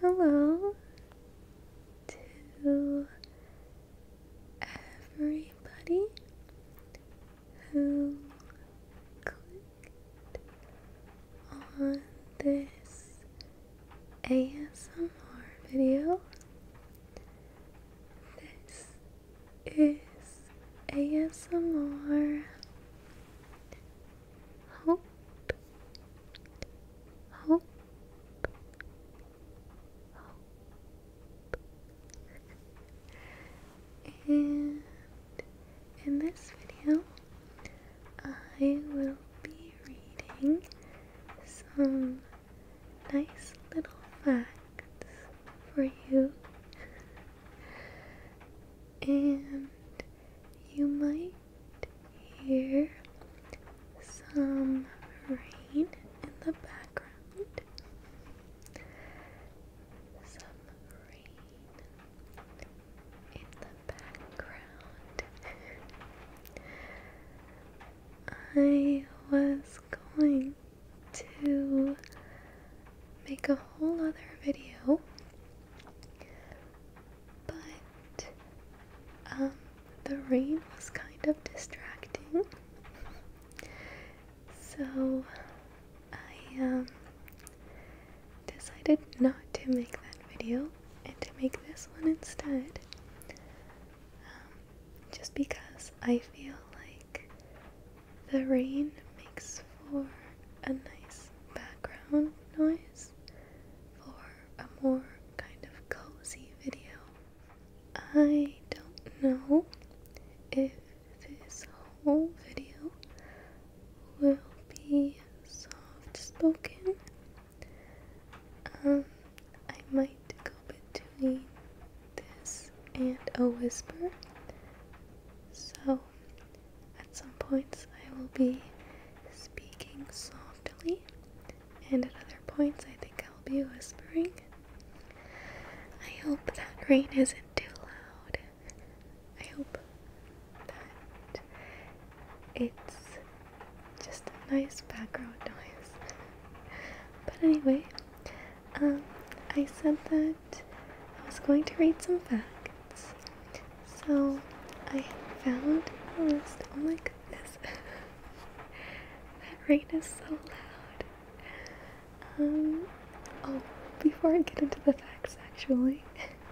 Hello to everybody who clicked on this ASMR video. This is ASMR hope, hope, hope. And in this video, I will be reading some nice little facts for you. And you might hear some rain in the background. Some rain in the background. I was going to make a whole other video but um, the rain was kind of distracting. So I um, decided not to make that video and to make this one instead. Um, just because I feel like the rain makes for a nice background noise for a more kind of cozy video. I don't know if this whole video will be soft spoken. Um, I might go between this and a whisper. So at some points, I will be speaking softly, and at other points, I think I'll be whispering. I hope that rain isn't too loud. I hope that it's just a nice background noise. But anyway, um, I said that I was going to read some facts, so I found a list. Oh my goodness. that rain is so loud. Um, oh before I get into the facts actually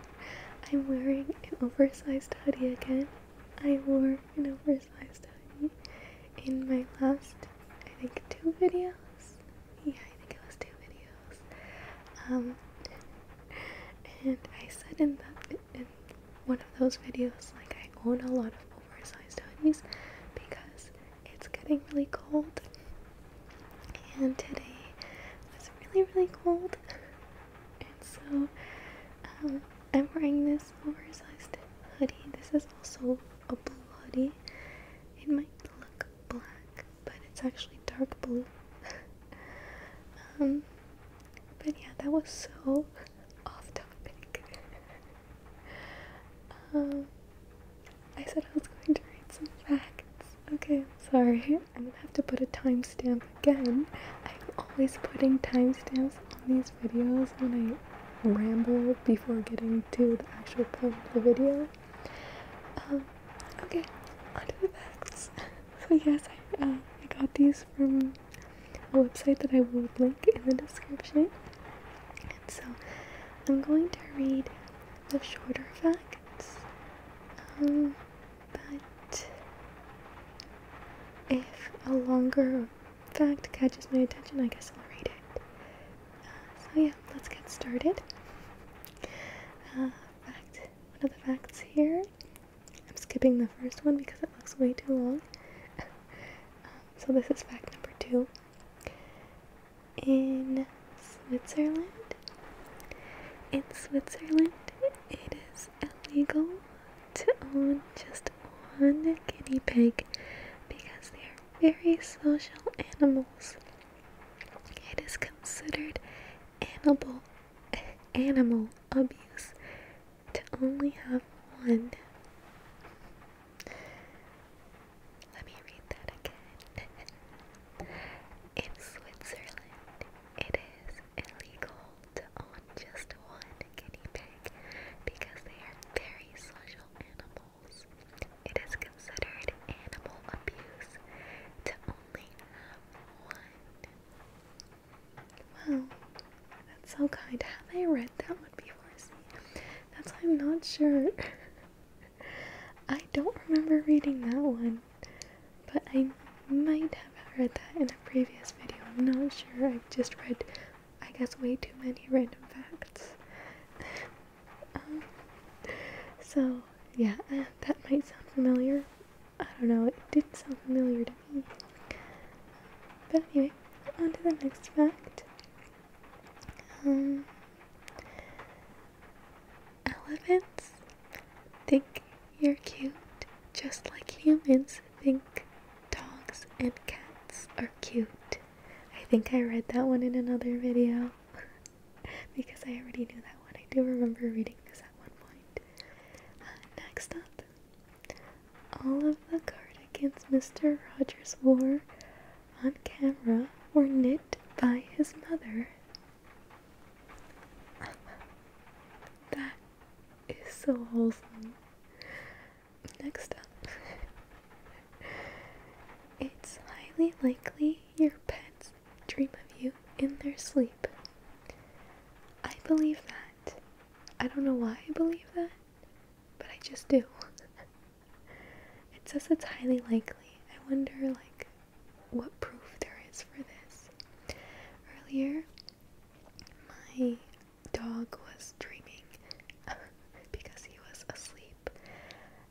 I'm wearing an oversized hoodie again. I wore an oversized hoodie in my last I think two videos. Yeah, I think it was two videos. Um and I said in that in one of those videos, like I own a lot of oversized hoodies because it's getting really cold, and today was really really cold, and so um, I'm wearing this oversized hoodie. This is also a blue hoodie. It might look black, but it's actually dark blue. um, but yeah, that was so off topic. um, I said I was going to read some facts. Okay, I'm sorry. I'm gonna have to put a timestamp again. I'm always putting timestamps on these videos when I ramble before getting to the actual part of the video. Um, okay, on to the facts. So yes, um, I, got these from a website that I will link in the description. so I'm going to read the shorter facts. Um, but if a longer fact catches my attention, I guess I'll read it. Uh, so yeah, let's get started. Uh, fact, one of the facts here I'm skipping the first one because it looks way too long. so this is fact number two. In Switzerland, in Switzerland, it is illegal to own just one guinea pig because they are very social animals. It is considered animal animal abuse to only have one. Let me read that again. In Switzerland, it is illegal to own just one guinea pig because they are very social animals. It is considered animal abuse to only have one. Wow, that's so kind. Have I read that one before? that's I'm not sure. I don't remember reading that one, but I might have read that in a previous video. I'm not sure. I've just read, I guess, way too many random facts. um, so, yeah, that might sound familiar. I don't know, it did not sound familiar to me. But anyway, on to the next fact. Um, elephants think you're cute just like humans think dogs and cats are cute. I think I read that one in another video because I already knew that one. I do remember reading this at one point. Uh, next up, all of the cardigans Mr. Rogers wore on camera were knit by his mother. that is so wholesome. Next up, it's highly likely your pet's dream of you in their sleep. I believe that. I don't know why I believe that, but I just do. it says it's highly likely. I wonder, like, what proof there is for this. Earlier, my dog was dreaming because he was asleep,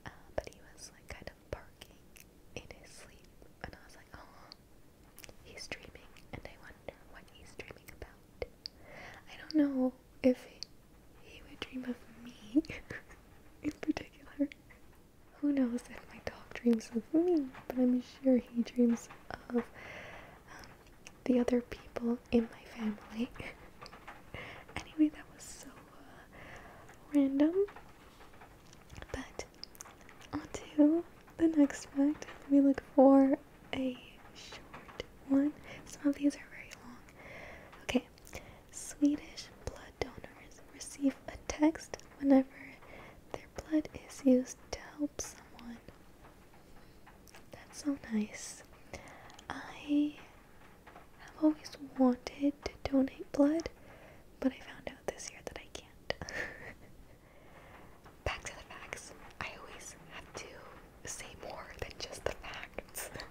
uh, but he was, like, kind of barking in his sleep, and I was like, oh, He's dreaming, and I wonder what he's dreaming about. I don't know if he would dream of me in particular. Who knows if my dog dreams of me, but I'm sure he dreams of um, the other people in my family. anyway, that was so uh, random. But onto the next fact. We look for a short one. Some of these are very long. Okay, Swedish blood donors receive a text whenever their blood is used to help someone. That's so nice. I have always wanted to donate blood, but I found out this year that I can't. Back to the facts. I always have to say more than just the facts.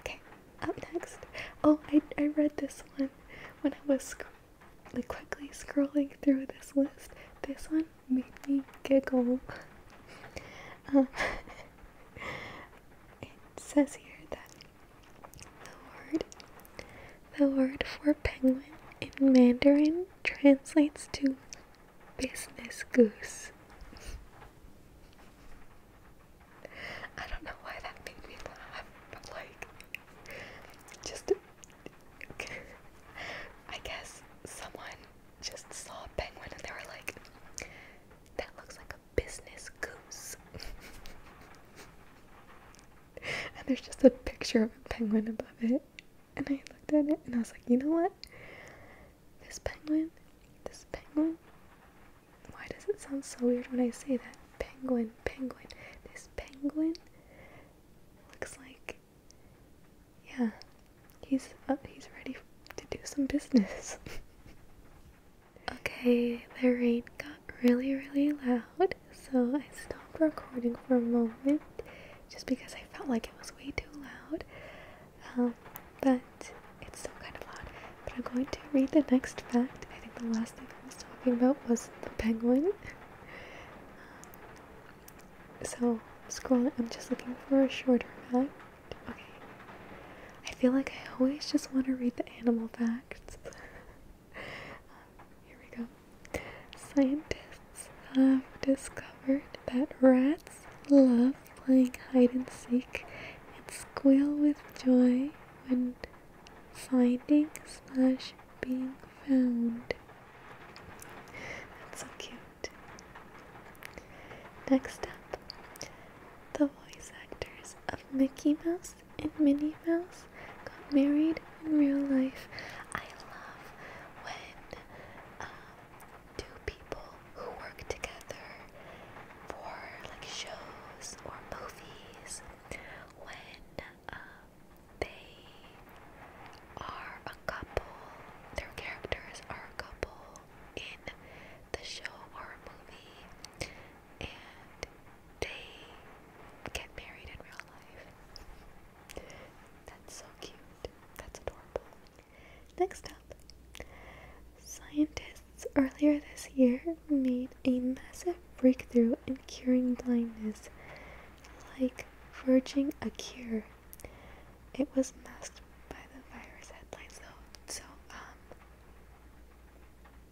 okay, up next. Oh, I, I read this one when I was like quickly scrolling through this list. This one made me giggle. Um, it says here that the word the word for penguin in Mandarin translates to business goose. I don't know why that made me laugh, but like, just I guess someone just saw a penguin and they were like, that looks like a business goose. and there's just a picture of a penguin above it. And I looked at it and I was like, you know what? This penguin, this penguin. Why does it sound so weird when I say that? Penguin, penguin. This penguin looks like, yeah, he's up. He's ready to do some business. okay, there rain got really, really loud, so I stopped recording for a moment just because I felt like it was way too loud. Um, but it's still kind of loud. But I'm going to read the next fact. I think the last thing I was talking about was the penguin. Um, so, scrolling, I'm just looking for a shorter fact. Okay. I feel like I always just want to read the animal facts. here we go. Scientists have discovered that rats love playing hide and seek and squeal with joy when finding slash being found. That's so cute. Next up, the voice actors of Mickey Mouse Mouse and Minnie Mouse got married in real life. I love when um, two people who work together for like shows or movies, when um, they are a couple, their characters are a couple in the show or movie, and get married in real life. That's so cute. That's adorable. Next up, scientists earlier this year made a massive breakthrough in curing blindness, like forging a cure. It was masked by the virus headlines, though. So, um,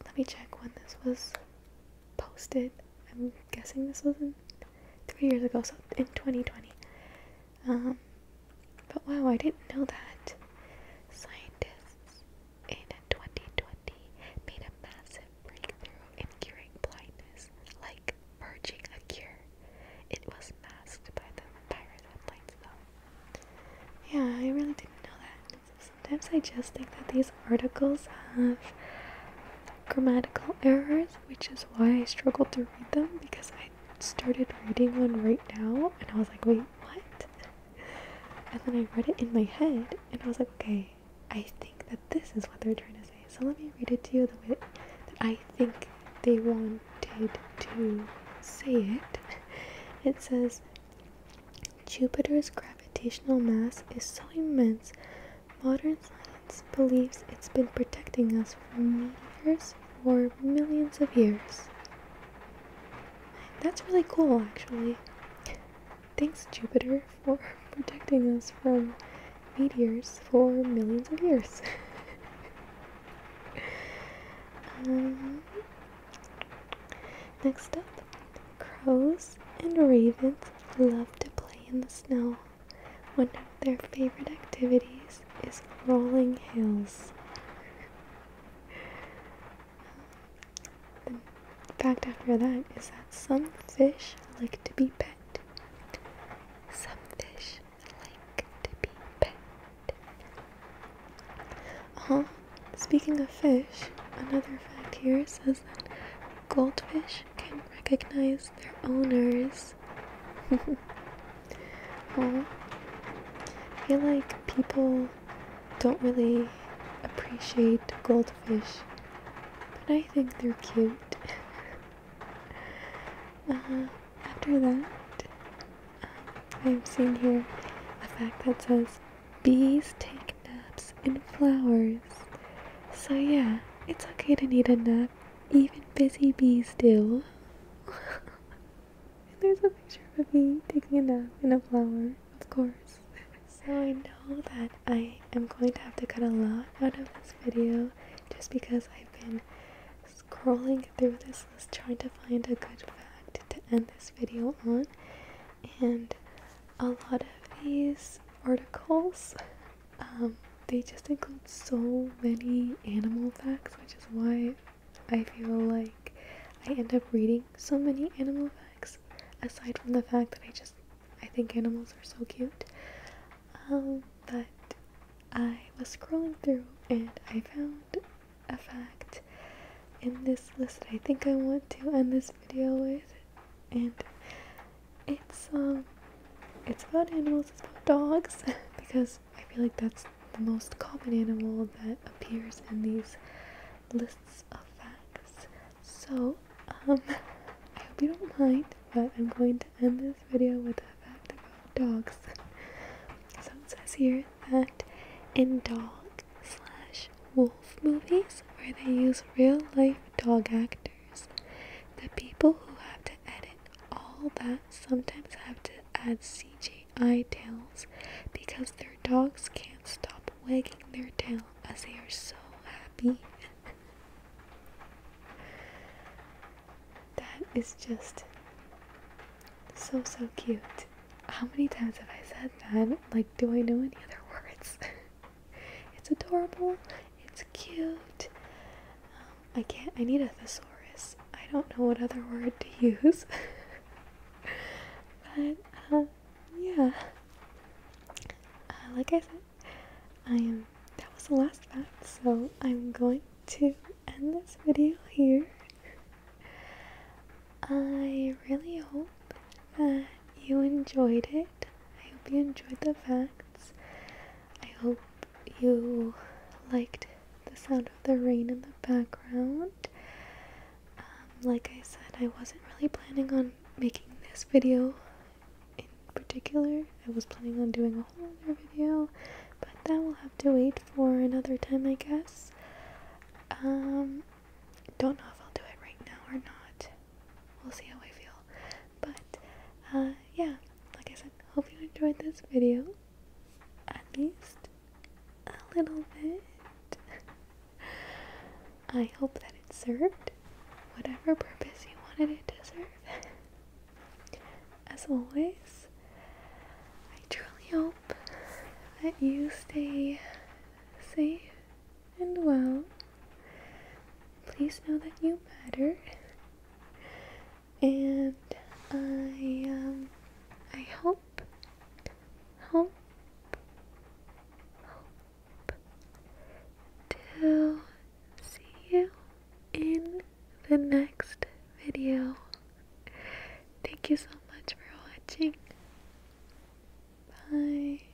let me check when this was posted. I'm guessing this was in three years ago, so in 2020. Um, but wow, I didn't know that. Scientists in 2020 made a massive breakthrough in curing blindness, like merging a cure. It was masked by the virus headlines, though. Yeah, I really didn't know that. Sometimes I just think that these articles have grammatical errors, which is why I struggled to read them because I started reading one right now and I was like, wait, what? And then I read it in my head and I was like, okay, I think that this is what they're trying to say. So let me read it to you the way that I think they wanted to say it. It says, Jupiter's gravitational mass is so immense Modern science believes it's been protecting us from meteors for millions of years. That's really cool, actually. Thanks, Jupiter, for protecting us from meteors for millions of years. Um, next up, Crows and ravens love to play in the snow. One of their favorite activities is rolling hills. The fact after that is that some fish like to be pet. Some fish like to be pet. Uh Speaking of fish, another fact here says that Goldfish can recognize their owners. I feel like people don't really appreciate goldfish, but I think they're cute. Uh, after that, um, i have seen here a fact that says bees take naps in flowers. So, yeah. It's okay to need a nap. Even busy bees do. and there's a picture of a bee taking a nap in a flower, of course. so I know that I am going to have to cut a lot out of this video just because I've been scrolling through this list trying to find a good fact to end this video on. And a lot of these articles um, they just include so many animal facts, which is why I feel like I end up reading so many animal facts, aside from the fact that I just I think animals are so cute. Um, but I was scrolling through and I found a fact in this list that I think I want to end this video with, and it's um it's about animals, it's about dogs because I feel like that's the most common animal that appears in these lists of facts. So, um, I hope you don't mind, but I'm going to end this video with a fact about dogs. So it says here that in dog slash wolf movies where they use real life dog actors the people who have to edit all that sometimes have to add CGI tails because their dogs can't stop wagging their tail as they are so happy. that is just so so cute. How many times have I said that? Like, do I know any other words? It's adorable. It's cute. Um, I can't. I need a thesaurus. I don't know what other word to use. but um, yeah. Uh, like I said, I am. That was the last fact. So I'm going to end this video here. I really hope you enjoyed it. I hope you enjoyed the facts. I hope you liked the sound of the rain in the background. Um, like I said, I wasn't really planning on making this video in particular. I was planning on doing a whole other video, but that will have to wait for another time, I guess. Um, don't know if I'll do it right now or not we'll see how I feel. But uh, yeah, like I said, hope you enjoyed this video. At least a little bit. I hope that it served whatever purpose you wanted it to serve. As always, I truly hope that you stay safe and well. Please know that you matter. And I um I hope hope hope to see you in the next video. Thank you so much for watching. Bye.